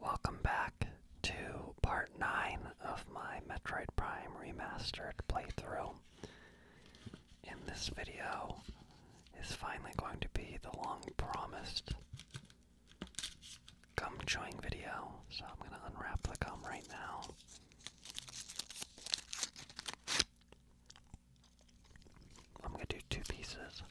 Welcome back to part 9 of my Metroid Prime Remastered playthrough. In this video is finally going to be the long promised gum chewing video. So I'm going to unwrap the gum right now. I'm going to do two pieces.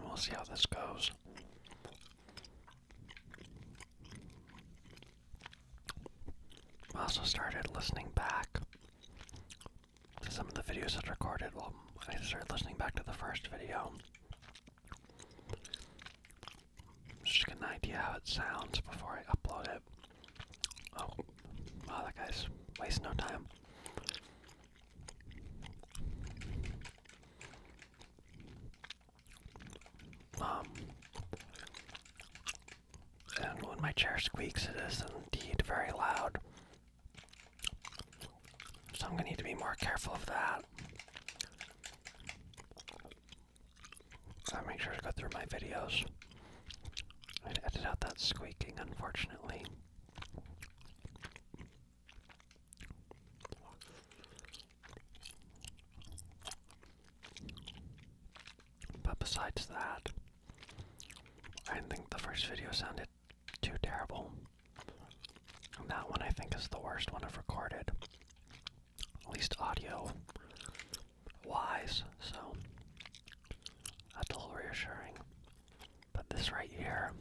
We'll see how this goes. I also started listening back to some of the videos i recorded. Well, I started listening back to the first video. Just to get an idea how it sounds before I upload it. Oh, wow, that guy's wasting no time. Um, and when my chair squeaks, it is indeed very loud. So I'm going to need to be more careful of that. I make sure to go through my videos and edit out that squeaking, unfortunately. But besides that, I think the first video sounded too terrible. that one I think is the worst one I've recorded. At least audio wise, so that's a little reassuring. But this right here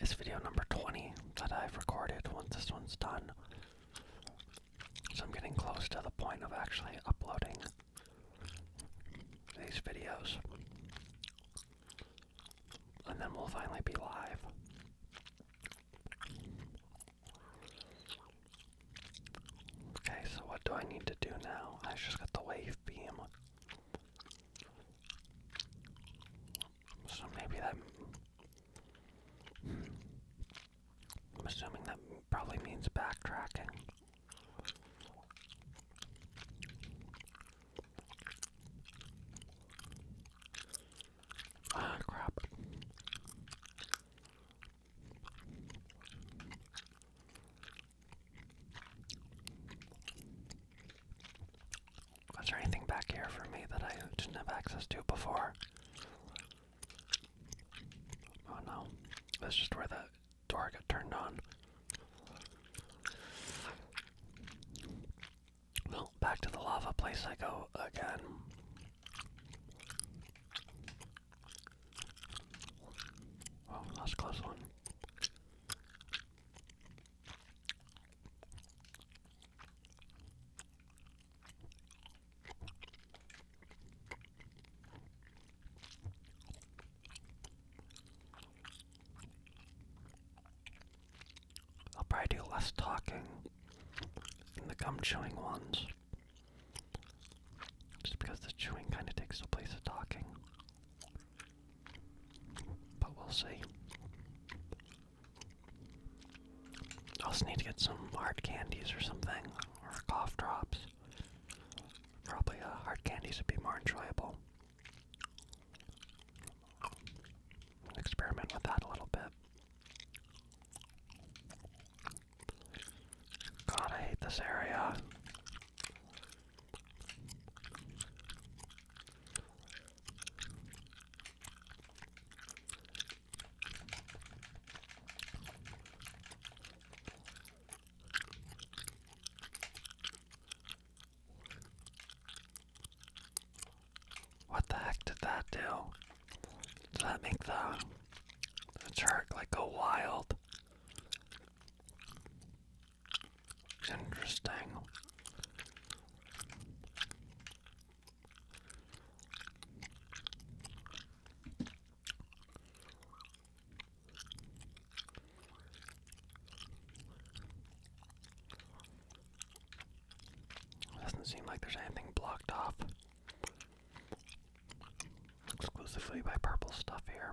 is video number 20 that I've recorded once this one's done. So I'm getting close to the point of actually uploading these videos. And then we'll finally be live. Okay, so what do I need to do now? I just got the wave beam. So maybe that. I'm assuming that probably means backtracking. Ah, crap. Was there anything back here for me that I didn't have access to before? Oh no, that's just where that door got turned on. Well, back to the lava place I go again. Oh, that's close one. I'll probably do less talking in the gum chewing ones. Just because the chewing kind of takes the place of talking. But we'll see also need to get some hard candies or something, or cough drops. Probably uh, hard candies would be more enjoyable. Experiment with that a little bit. God, I hate this area. What the heck did that do? Does that make the, the jerk like go wild? Interesting. Doesn't seem like there's anything blocked off exclusively by purple stuff here.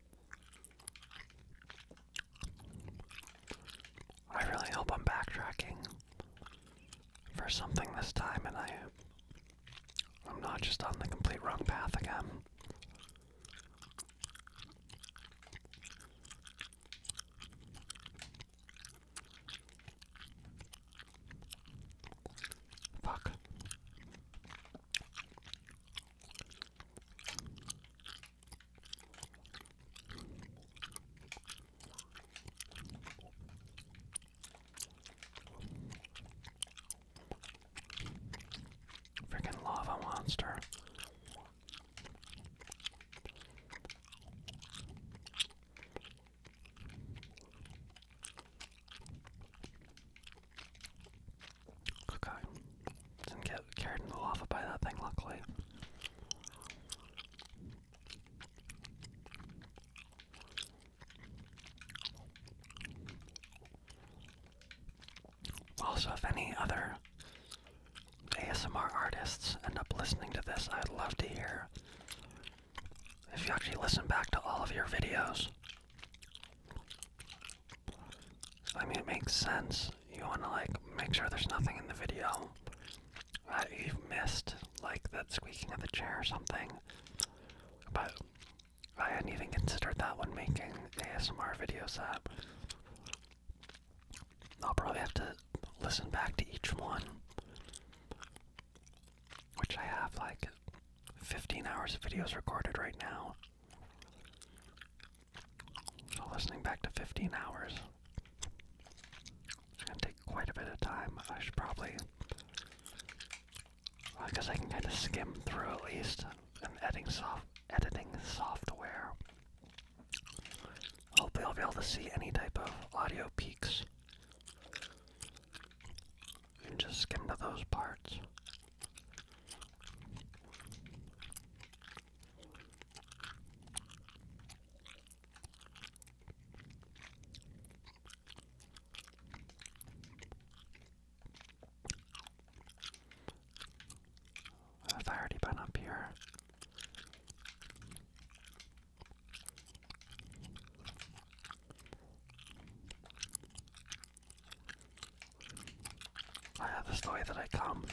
I really hope I'm backtracking for something this time and I I'm not just on the complete wrong path again. Fuck. Freaking lava monster. Okay. Didn't get carried in the lava by that thing, luckily. Also, if any other ASMR artists end up listening to this, I'd love to hear if you actually listen back to all of your videos I mean, it makes sense. You want to like make sure there's nothing in the video that you've missed, like that squeaking of the chair or something. But I hadn't even considered that when making ASMR videos I'll probably have to listen back to each one, which I have like 15 hours of videos recorded right now. So listening back to 15 hours, it's gonna take quite a bit of time. I should probably, well, I guess I can kind of skim through at least an editing soft editing software. Hopefully, I'll be able to see any type of audio peaks. You just skim to those parts. Have already been up here? I have the story that I come.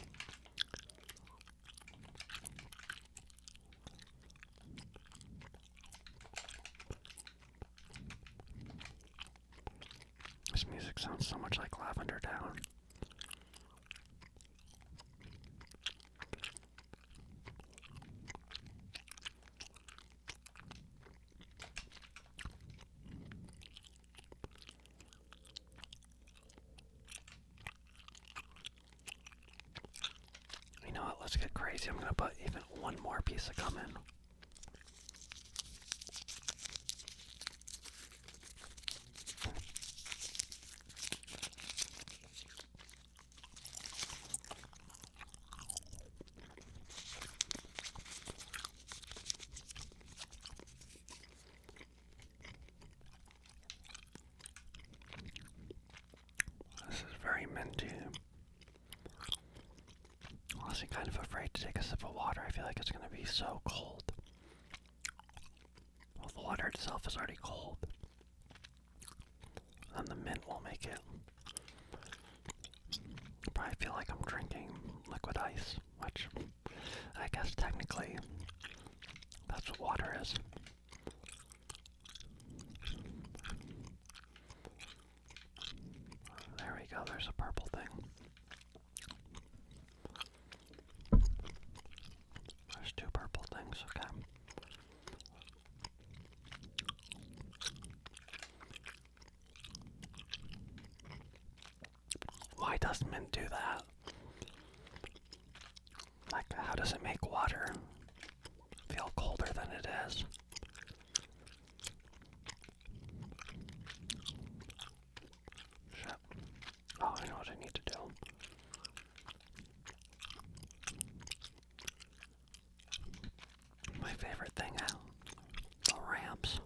This music sounds so much like Lavender Down. You know what? Let's get crazy. I'm going to put even one more piece of gum in. This is very minty. I'm also kind of afraid to take a sip of water. I feel like it's going to be so cold. Well, the water itself is already cold. And the mint will make it I feel like I'm drinking liquid ice, which I guess technically that's what water is. There we go, there's a purple thing. There's two purple things, okay. Why does mint do that? Like, how does it make water feel colder than it is? Oh, I know what I need to do. My favorite thing out the ramps.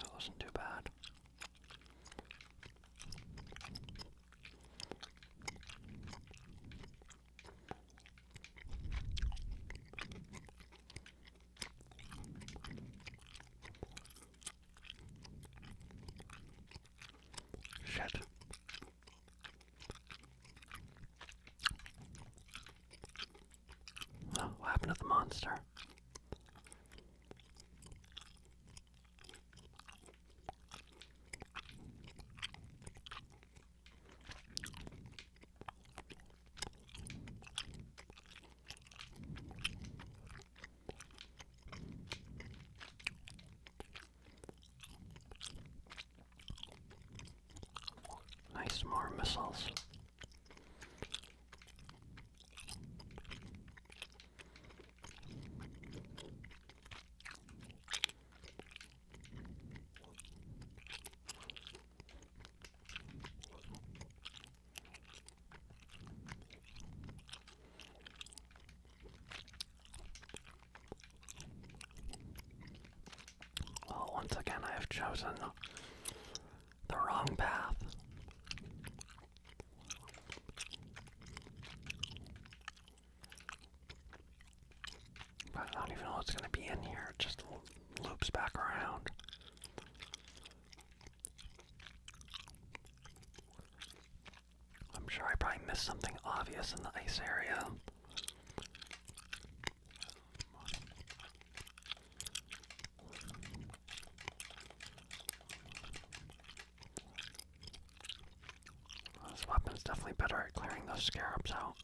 That wasn't too bad. Shit. Oh, what happened to the monster? Nice, more missiles. Well, oh, once again, I have chosen the wrong path. I don't even know what's going to be in here, it just loops back around. I'm sure I probably missed something obvious in the ice area. Well, this weapon's definitely better at clearing those scarabs out.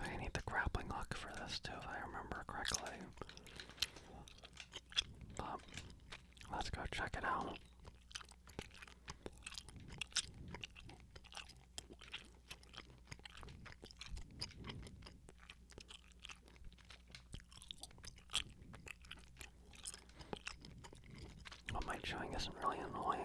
I need the grappling hook for this too, if I remember correctly. let's go check it out. But my chewing isn't really annoying.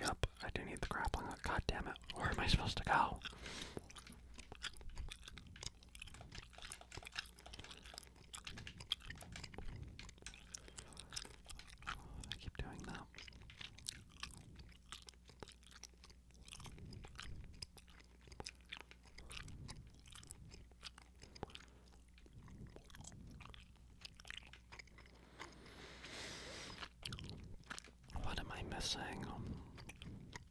Yep, I do need the grappling hook. God damn it, where am I supposed to go? I keep doing that. What am I missing?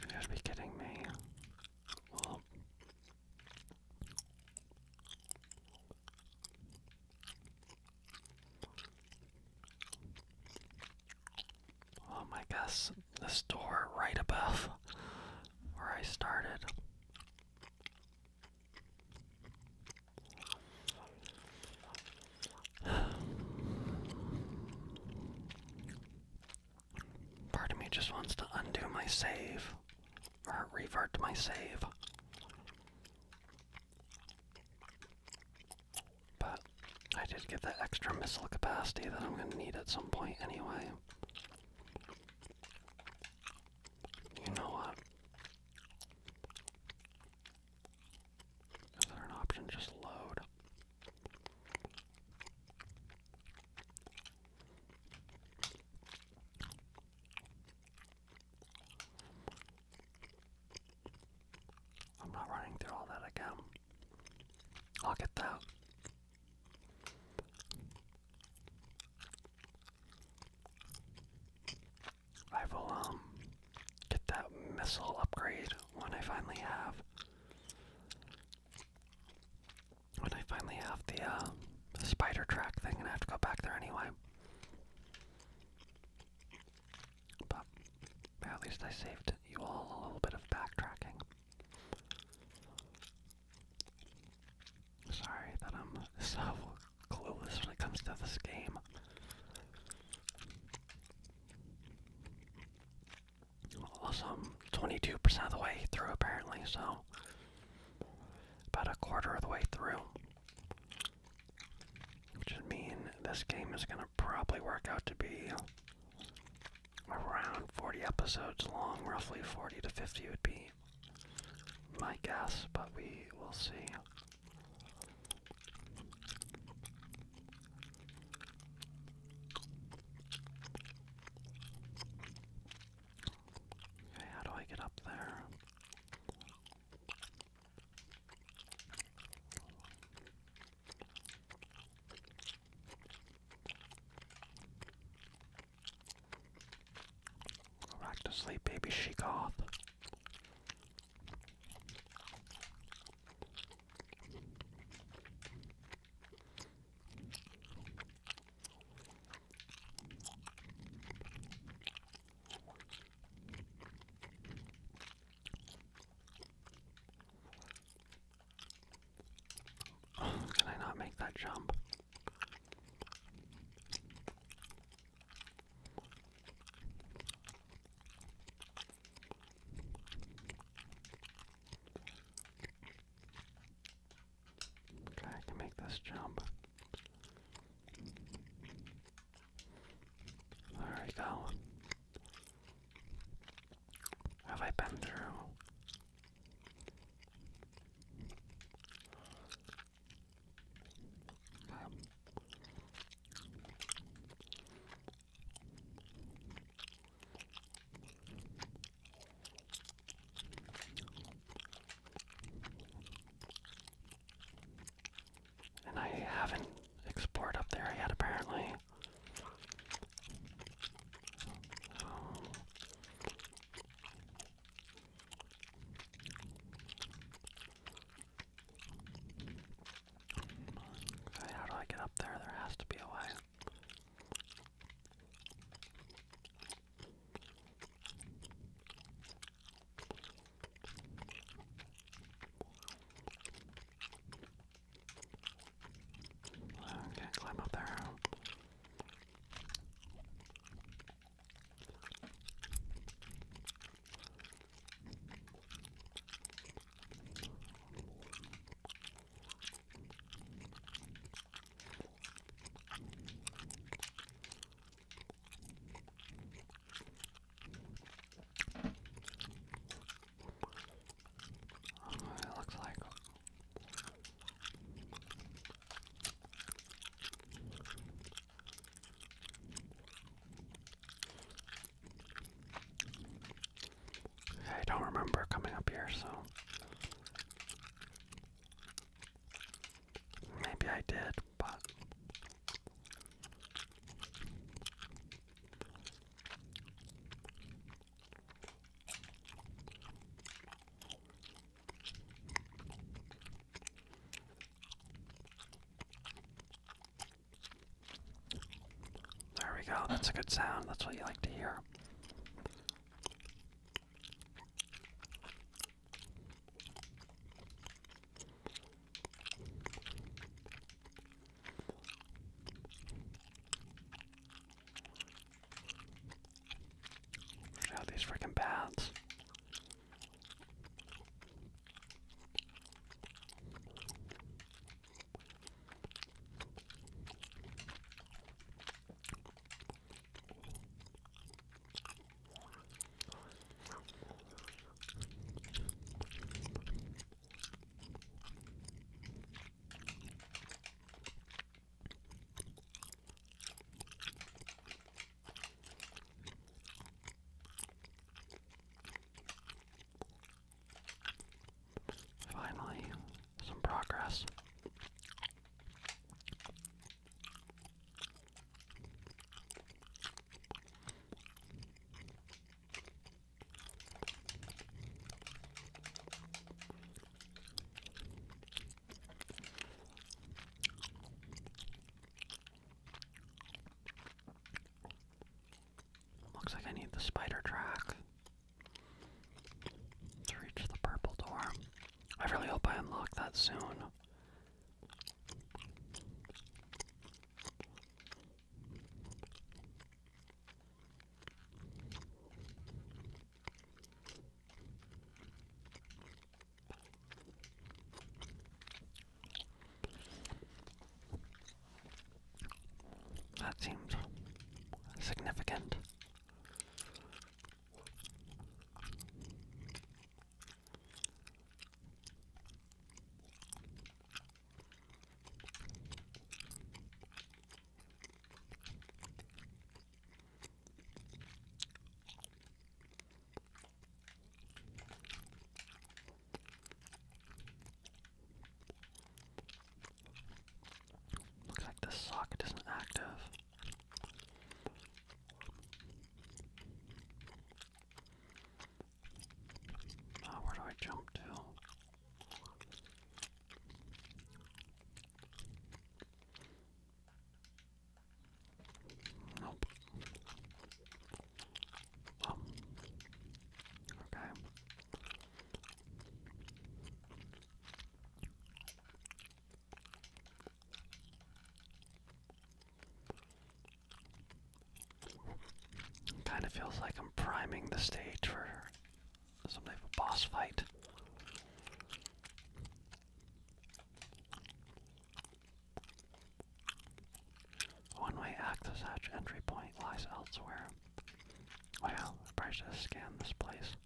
You gotta be kidding me. Oh my gosh! This door right above where I started. Part of me just wants to undo my save or revert my save. But I did get that extra missile capacity that I'm going to need at some point anyway. You know what? Is there an option just load? I'm not running through all that again. I'll get that. I will um get that missile upgrade when I finally have when I finally have the uh spider track thing and I have to go back there anyway. But at least I saved you all a little bit of backtracking. Sorry that I'm so clueless when it comes to this game. Also, 22% of the way through apparently, so about a quarter of the way through. Which would this game is going to probably work out to be around 40 episodes long, roughly 40 to 50 would be my guess, but we will see. Okay, how do I get up there? Go back to sleep, baby she goth can I not make that jump? Okay, I can make this jump. There we go. Have I been through? And I haven't explored up there yet, apparently. how do I get up there? There has to be a way. Okay, climb up there. It looks like I don't remember coming up here, so maybe I did, but there we go, that's a good sound, that's what you like to hear. Look at these freaking bats. Finally, some progress. Looks like I need the spider track to reach the purple door. I really hope I unlock that soon. That seemed significant. Looks like the socket isn't active. Oh, where do I jump to? Nope. Um, okay. Kind of feels like I'm priming the stage for some type of boss fight. One way access hatch entry point lies elsewhere. Well, I probably should have scanned this place.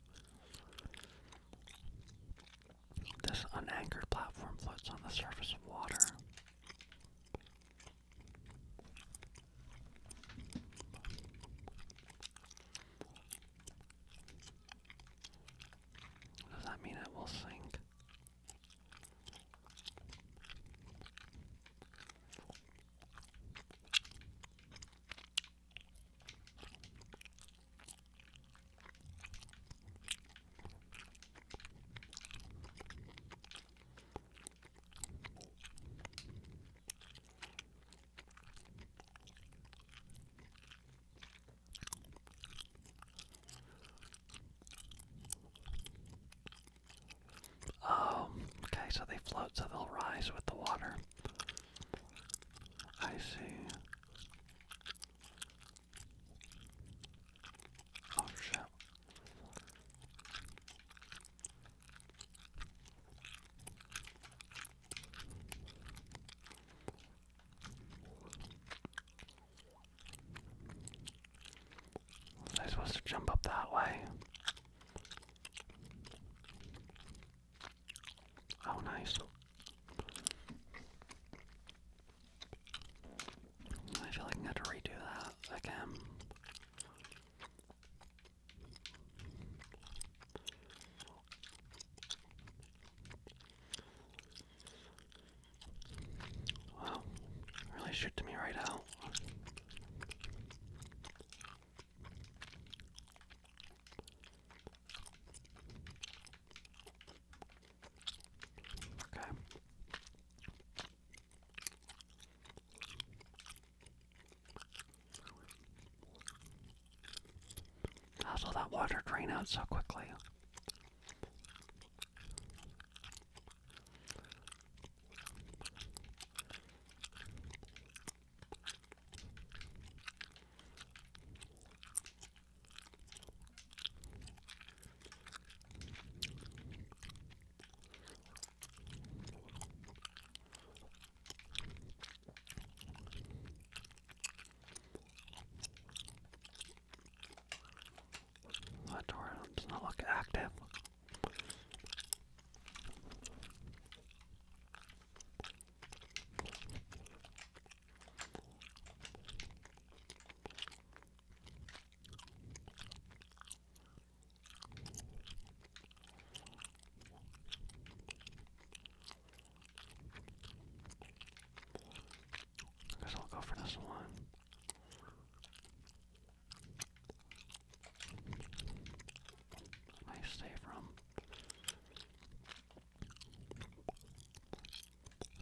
This unanchored platform floats on the surface of water. Does that mean it will sink? Oh, okay, so they float, so they'll rise with the water. I see. Oh shit. Was I supposed to jump up that way? Oh, nice. I feel like i have to redo that again. Wow, really shoot me right out. Okay. How does that water drain out so quickly? That door does not look active. I guess I'll go for this one. Nice save from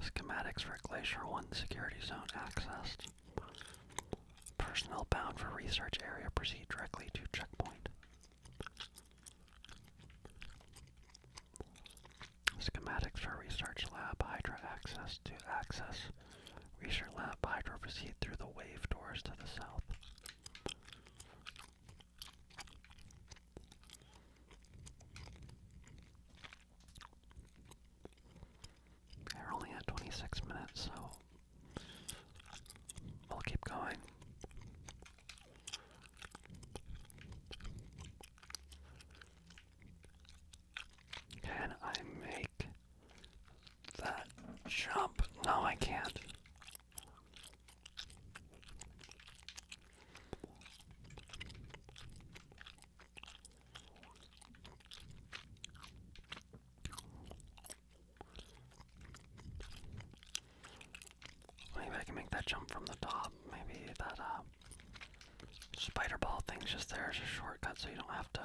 Schematics for Glacier 1 security zone accessed. Personnel bound for research area proceed directly to checkpoint. Schematics for Research Lab Hydra access to access. Research Lab Hydra proceed through the wave doors to the south. We're only at 26 minutes, so we'll keep going. Can I make that jump? No, I can't. Maybe I can make that jump from the top. Maybe that uh, spider ball thing's just there is a shortcut so you don't have to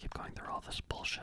keep going through all this bullshit.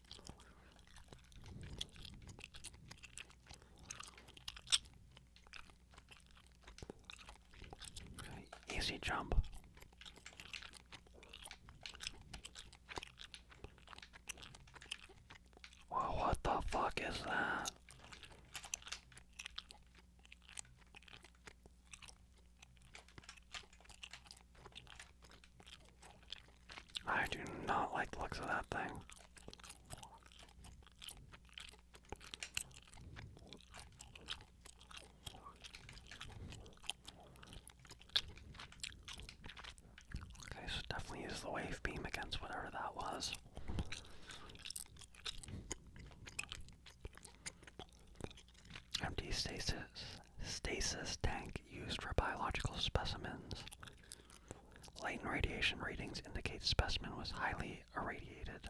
easy jump. Well, what the fuck is that? I do not like the looks of that thing. Okay, so definitely use the wave beam against whatever that was. Empty tank used for biological specimens. Latent radiation readings indicate specimen was highly irradiated.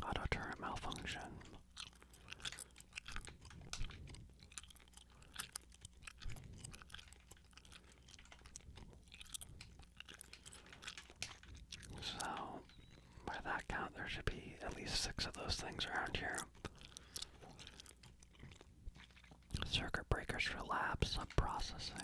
Autoturret malfunction. So, by that count, there should be at least six of those things around here. Circuit breakers relapse. sub-processing.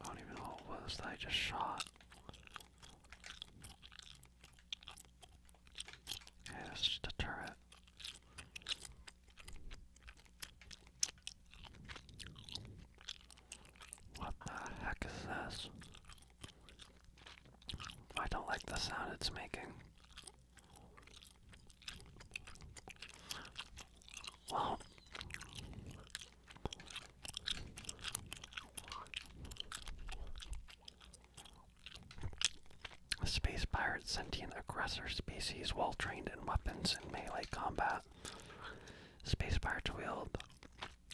I don't even know what was I just shot. Yeah, that's just a turret. What the heck is this? I don't like the sound it's making. Well, Space pirate sentient aggressor species well trained in weapons and melee combat. Space pirates wield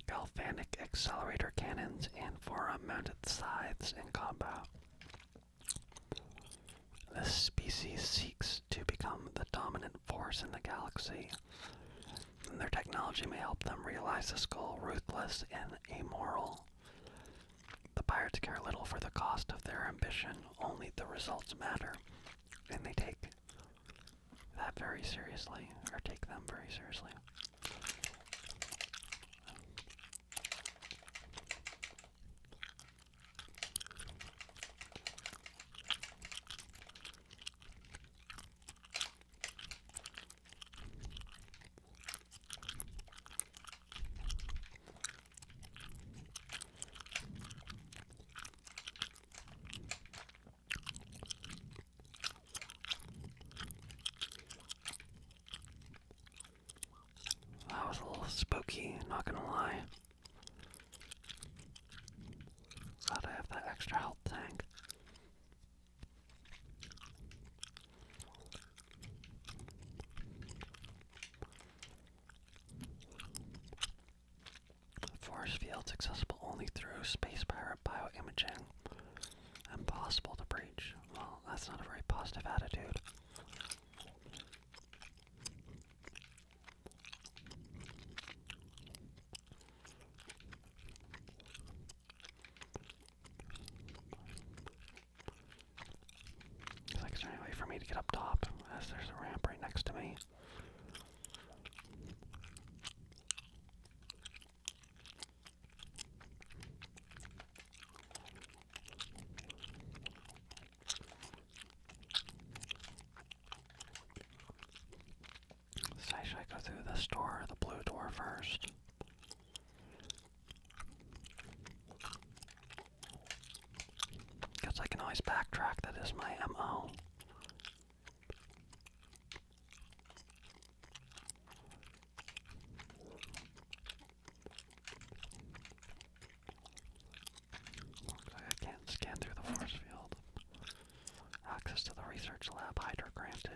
galvanic accelerator cannons and forearm mounted scythes in combat. This species seeks to become the dominant force in the galaxy, and their technology may help them realize this goal ruthless and amoral. The pirates care little for the cost of their ambition, only the results matter. And they take that very seriously, or take them very seriously. That was a little spooky, not gonna lie. Glad I have that extra health tank. Force fields accessible only through space pirate bioimaging. Impossible to breach. Well, that's not a very positive attitude is there any way for me to get up top? As there's a ramp right next to me. So should I go through this door the blue door first? Because I can always backtrack, that is my MO. I can scan through the force field. Access to the research lab, Hydra granted.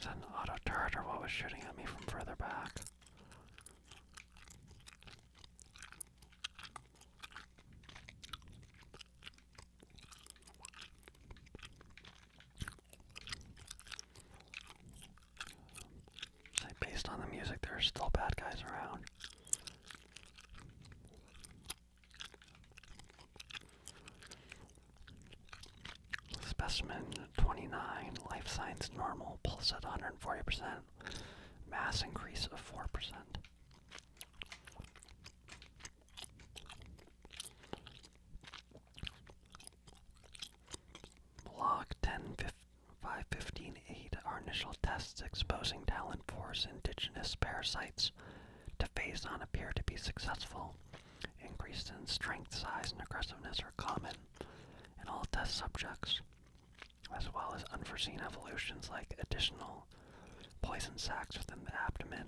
Is that an auto turret or what was shooting at me from further back? based on the music, there are still bad guys around. Specimen 29, life signs normal, pulse at 140%, mass increase of 4%. Block 10, 5, 515, 8 are initial tests exposing talon force indigenous parasites to phase on appear to be successful. Increase in strength, size, and aggressiveness are common in all test subjects, as well as unforeseen evolutions like additional poison sacs within the abdomen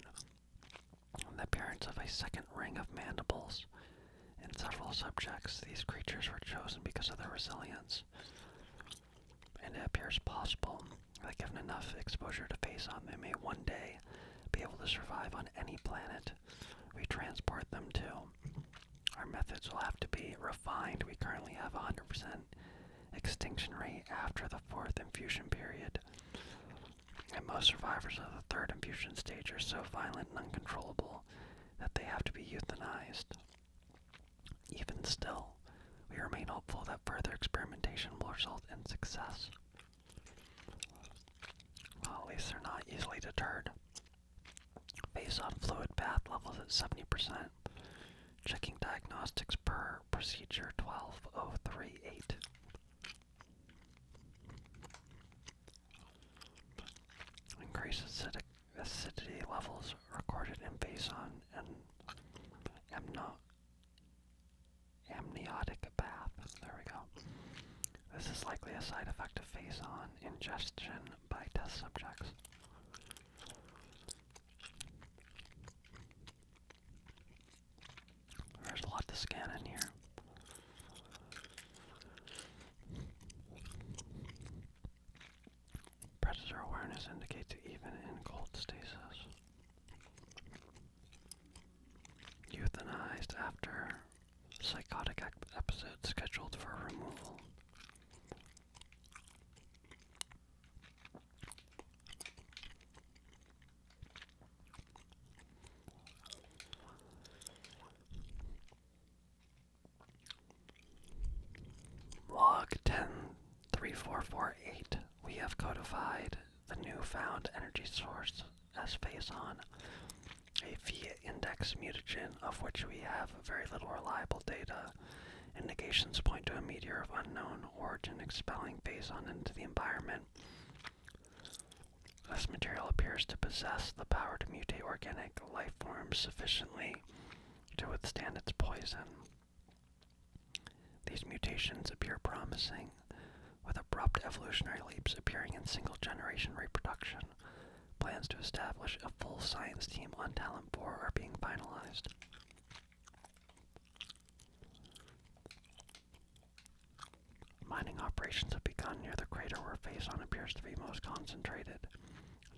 the appearance of a second ring of mandibles. In several subjects, these creatures were chosen because of their resilience, and it appears possible that given enough exposure to face-on, they may one day be able to survive on any planet we transport them to. Our methods will have to be refined. We currently have a 100% extinction rate after the fourth infusion period and most survivors of the third infusion stage are so violent and uncontrollable that they have to be euthanized. Even still, we remain hopeful that further experimentation will result in success. at least they're not easily deterred. Based on fluid bath levels at 70%, checking diagnostics per procedure 12038. Increased acidity levels recorded in Baison and amniotic bath. There we go. This is likely a side effect of face-on ingestion by test subjects. There's a lot to scan in here. Predator awareness indicates even in cold stasis. Euthanized after psychotic episode scheduled for removal. Log 103448, we have codified the new found energy source as phason, a V index mutagen of which we have very little reliable data. Indications point to a meteor of unknown origin expelling phason into the environment. This material appears to possess the power to mutate organic life forms sufficiently to withstand its poison. These mutations appear promising, with abrupt evolutionary leaps appearing in single generation reproduction. Plans to establish a full science team on Talent 4 are being finalized. Mining operations have begun near the crater where Faison appears to be most concentrated.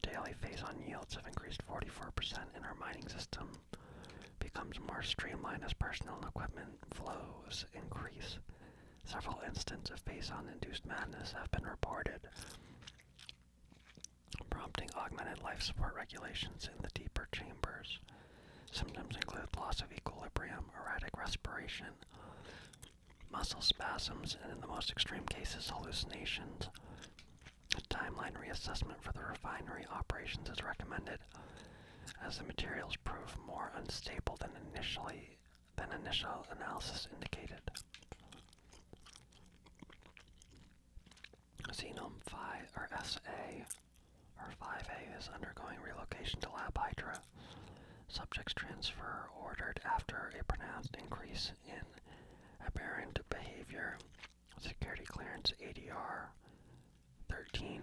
Daily Faison yields have increased 44% in our mining system becomes more streamlined as personnel and equipment flows increase. Several instances of Faison-induced madness have been reported, prompting augmented life support regulations in the deeper chambers. Symptoms include loss of equilibrium, erratic respiration, muscle spasms, and in the most extreme cases, hallucinations. A timeline reassessment for the refinery operations is recommended, as the materials prove more unstable than initially than initial analysis indicated. Xenome Phi or SA or 5A is undergoing relocation to Lab Hydra. Subjects transfer ordered after a pronounced increase in aberrant behavior. Security clearance ADR 13.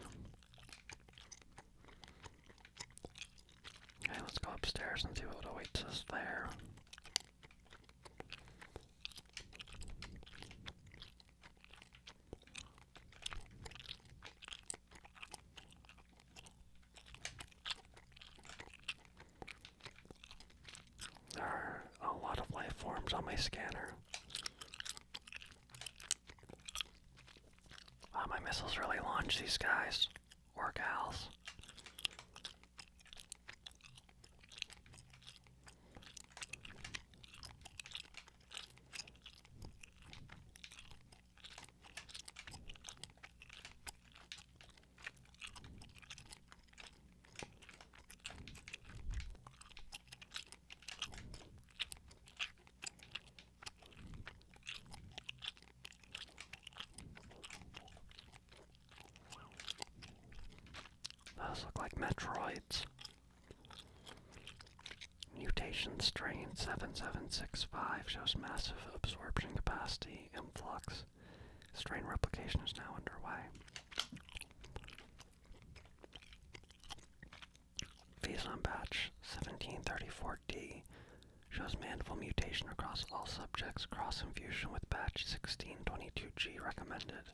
Okay, let's go upstairs and see what awaits us there. There are a lot of life on my scanner. Wow, my missiles really launch these guys or gals. Those look like Metroids. Mutation strain 7765 shows massive absorption capacity influx. Strain replication is now underway. Phase on batch 1734D shows mandible mutation across all subjects. Cross infusion with batch 1622G recommended.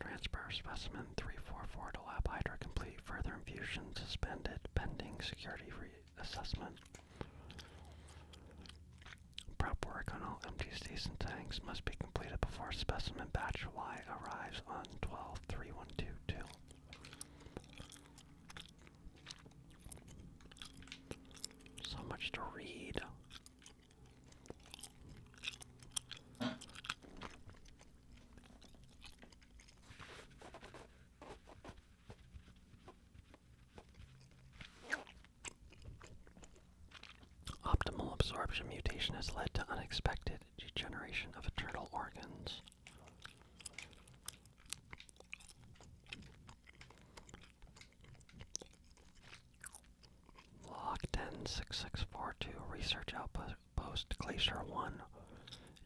Transfer specimen 344 to Lab Hydra complete. Further infusion suspended pending security reassessment. Prep work on all empty season tanks must be completed before specimen batch Y arrives on 12 So much to read. Optimal absorption mutation has led to unexpected degeneration of internal organs. Log 106642, Research Outpost Glacier 1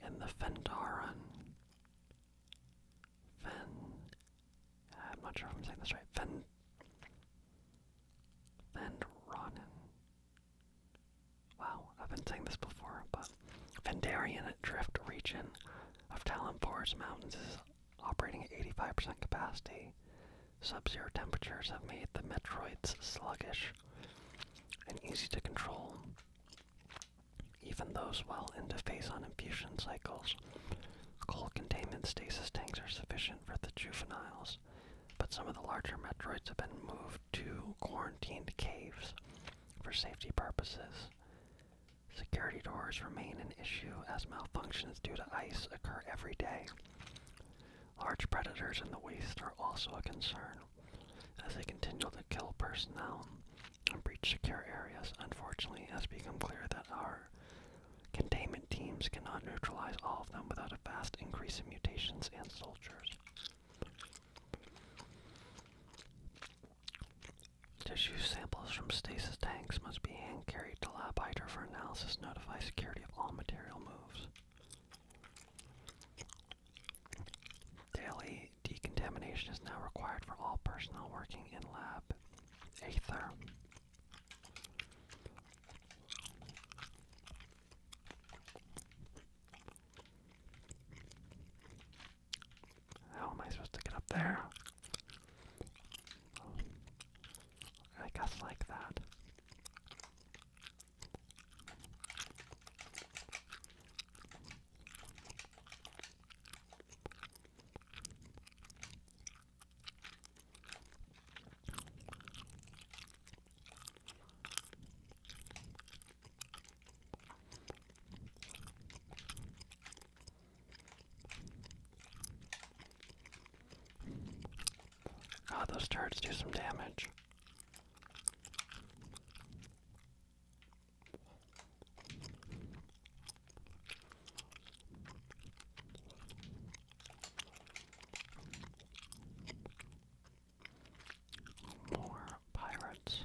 in the Fendaran. Fen. I'm not sure if I'm saying this right. Fen. Fendranen. Wow, I've been saying this before, but Fendarian Drift region of Talon Forest Mountains is Operating at 85% capacity, sub zero temperatures have made the Metroids sluggish and easy to control. Even those well into phase on infusion cycles, cold containment stasis tanks are sufficient for the juveniles, but some of the larger Metroids have been moved to quarantined caves for safety purposes. Security doors remain an issue as malfunctions due to ice occur every day. Large predators in the waste are also a concern, as they continue to kill personnel and breach secure areas. Unfortunately, it has become clear that our containment teams cannot neutralize all of them without a vast increase in mutations and soldiers. Tissue samples from stasis tanks must be carried to Lab Hydra for analysis. Notify security of all material moves. Daily decontamination is now required for all personnel working in Lab Aether. How am I supposed to get up there? I guess like that. God, ah, those turrets do some damage. More pirates.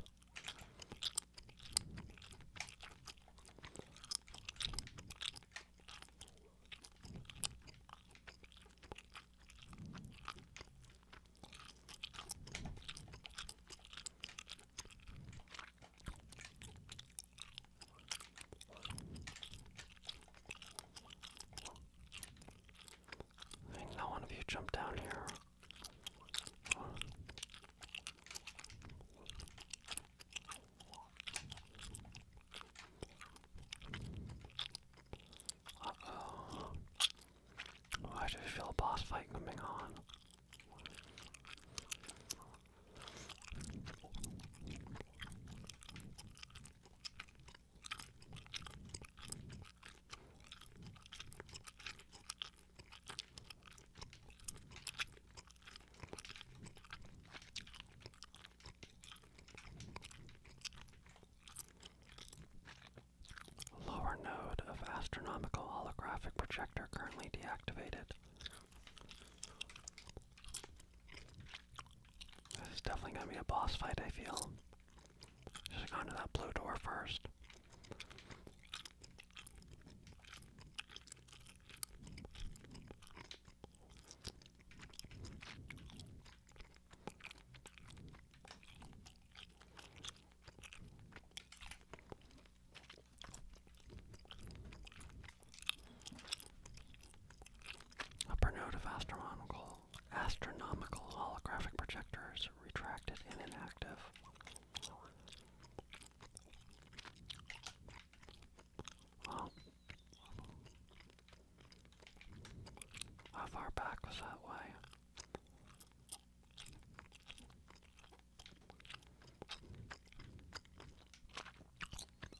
I think not one of you jumped down here. Oh. I just feel a boss fight coming on. Lower node of astronomical holographic projector currently deactivated. This is definitely gonna be a boss fight, I feel. Should have gone that blue door first. Upper note of astronomical astronomical holographic projectors retracted and inactive. How far back was that way?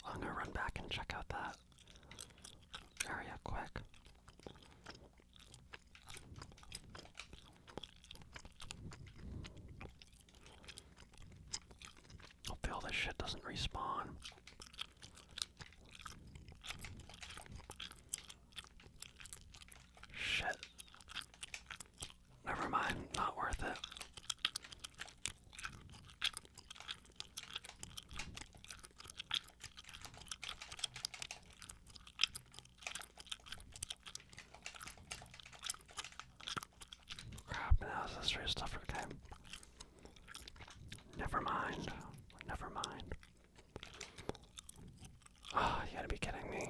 I'm gonna run back and check out that area quick. Hopefully all this shit doesn't respawn. Shit. Never mind, not worth it. Crap, now is this real stuff okay? Never mind. Never mind. Ah, you gotta be kidding me.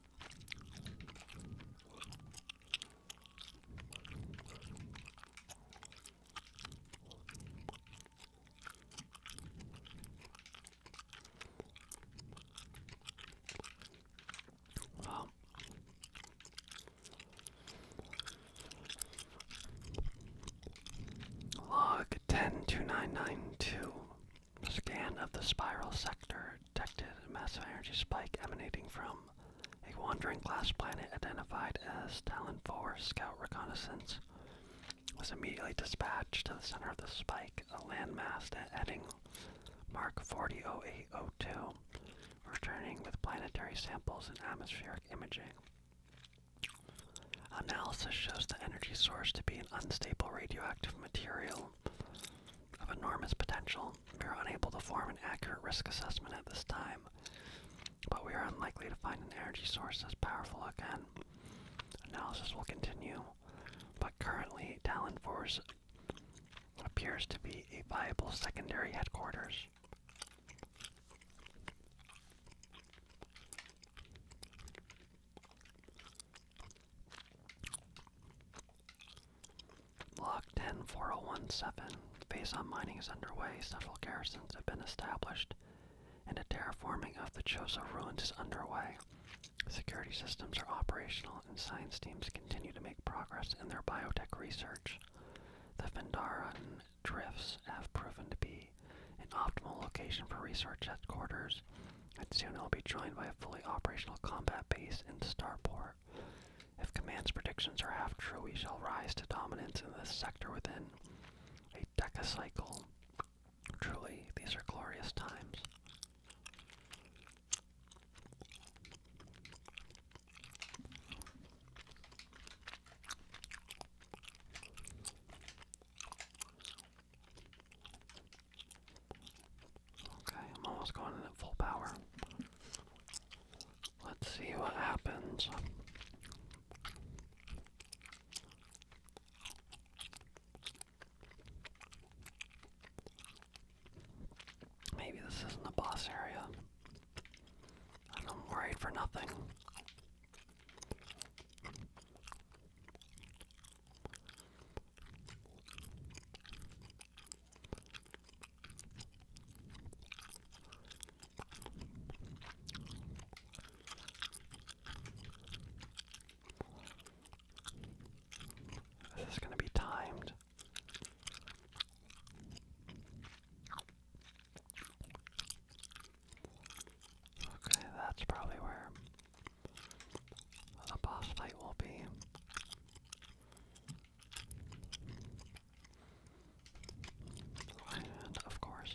Wow. Log 1029992. Scan of the spiral sector detected a massive energy spike emanating from a wandering glass planet identified as Talon 4 Scout Reconnaissance. Was immediately dispatched to the center of the spike, a landmass at heading Mark 400802, returning with planetary samples and atmospheric imaging. Analysis shows the energy source to be an unstable radioactive material of enormous potential. We are unable to form an accurate risk assessment at this time, but we are unlikely to find an energy source as powerful again. Analysis will continue, but currently Talon Force appears to be a viable secondary headquarters. Lock 10 4017. Phase on mining is underway, several garrisons have been established, and a terraforming of the Chozo ruins is underway. Security systems are operational, and science teams continue to make progress in their biotech research. The Vendaran drifts have proven to be an optimal location for research headquarters, and soon it'll be joined by a fully operational combat base in Starport. If Command's predictions are half true, we shall rise to dominance in this sector within a decacycle. Truly, these are glorious times. Okay, I'm almost going in at full power. Let's see what happens. Maybe this isn't the boss area. And I'm worried for nothing. This is going to be timed. Okay, that's probably where the boss will be. And of course,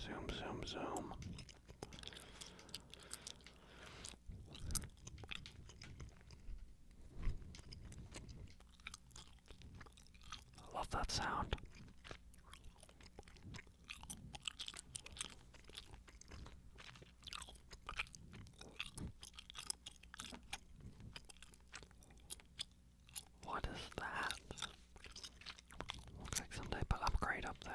Zoom, zoom, zoom. I love that sound. What is that? Looks like some type of upgrade up there.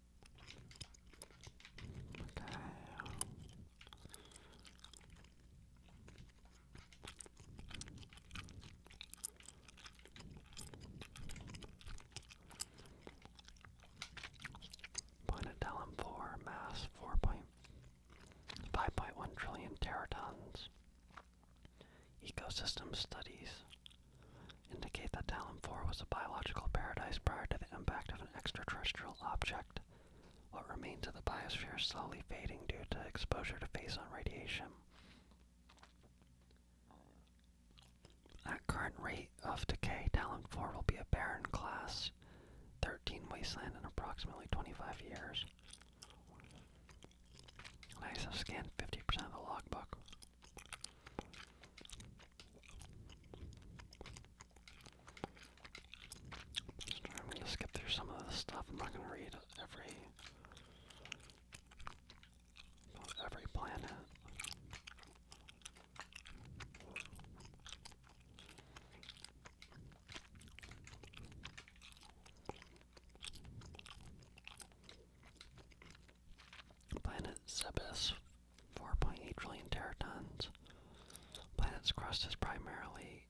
Okay. Point at mass 4.5.1 trillion teratons. Ecosystem studies indicate that Talon 4 was a biological paradise prior to the impact of an extraterrestrial object, what remains of the biosphere is slowly fading due to exposure to phase radiation. At current rate of decay, Talon 4 will be a barren class 13 wasteland in approximately 25 years. I've scanned 50% of the logbook. I'm gonna skip through some of this stuff. I'm not gonna read every every planet. Planet Zebes 4.8 trillion teratons. Planet's crust is primarily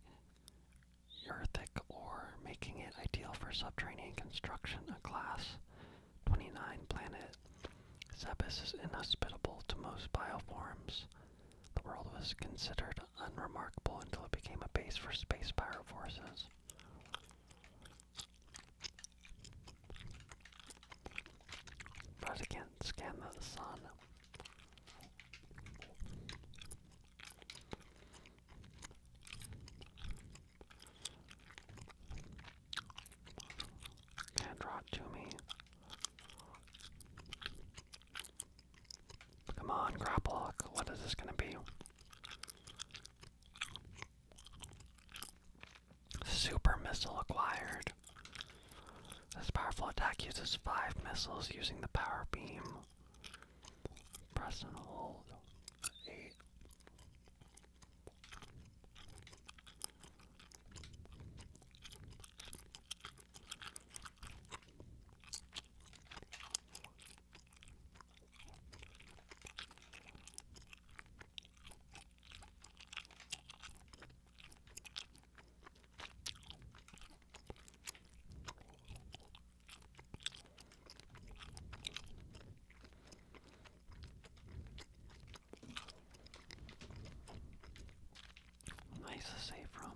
earthic or making it ideal for subterranean construction. A class 29 planet, Zebes is inhospitable to most bioforms. The world was considered unremarkable until it became a base for space power forces. But I can't scan the sun. And draw it to me. Come on, grapple. What is this going to be? Super missile acquired. This powerful attack uses five missiles using the power beam. Press and hold. Eight. Nice to say from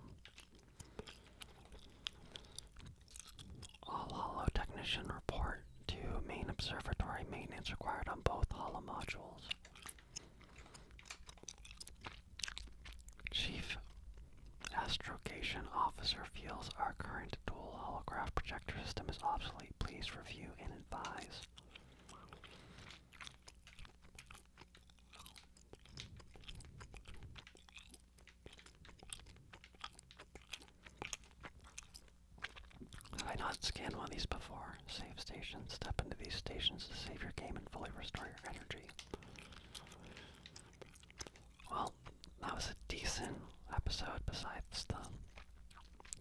all hollow technician report to main observatory maintenance required on both hollow modules. Chief Astrocation Officer feels our current dual holograph projector system is obsolete. Please review and advise. Have I not scanned one of these before? Save stations. Step into these stations to save your game and fully restore your energy. Well, that was a decent episode besides the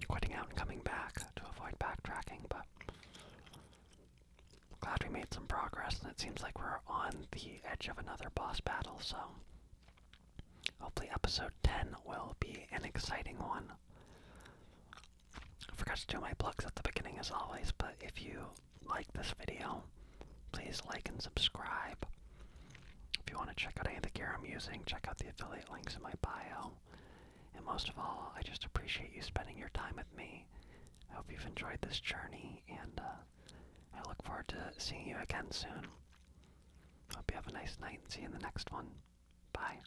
quitting out and coming back to avoid backtracking, but glad we made some progress and it seems like we're on the edge of another boss battle, so hopefully episode 10 will be an exciting one. I forgot to do my plugs at the beginning as always, but if you like this video, please like and subscribe. If you want to check out any of the gear I'm using, check out the affiliate links in my bio. And most of all, I just appreciate you spending your time with me. I hope you've enjoyed this journey, and uh, I look forward to seeing you again soon. Hope you have a nice night and see you in the next one. Bye.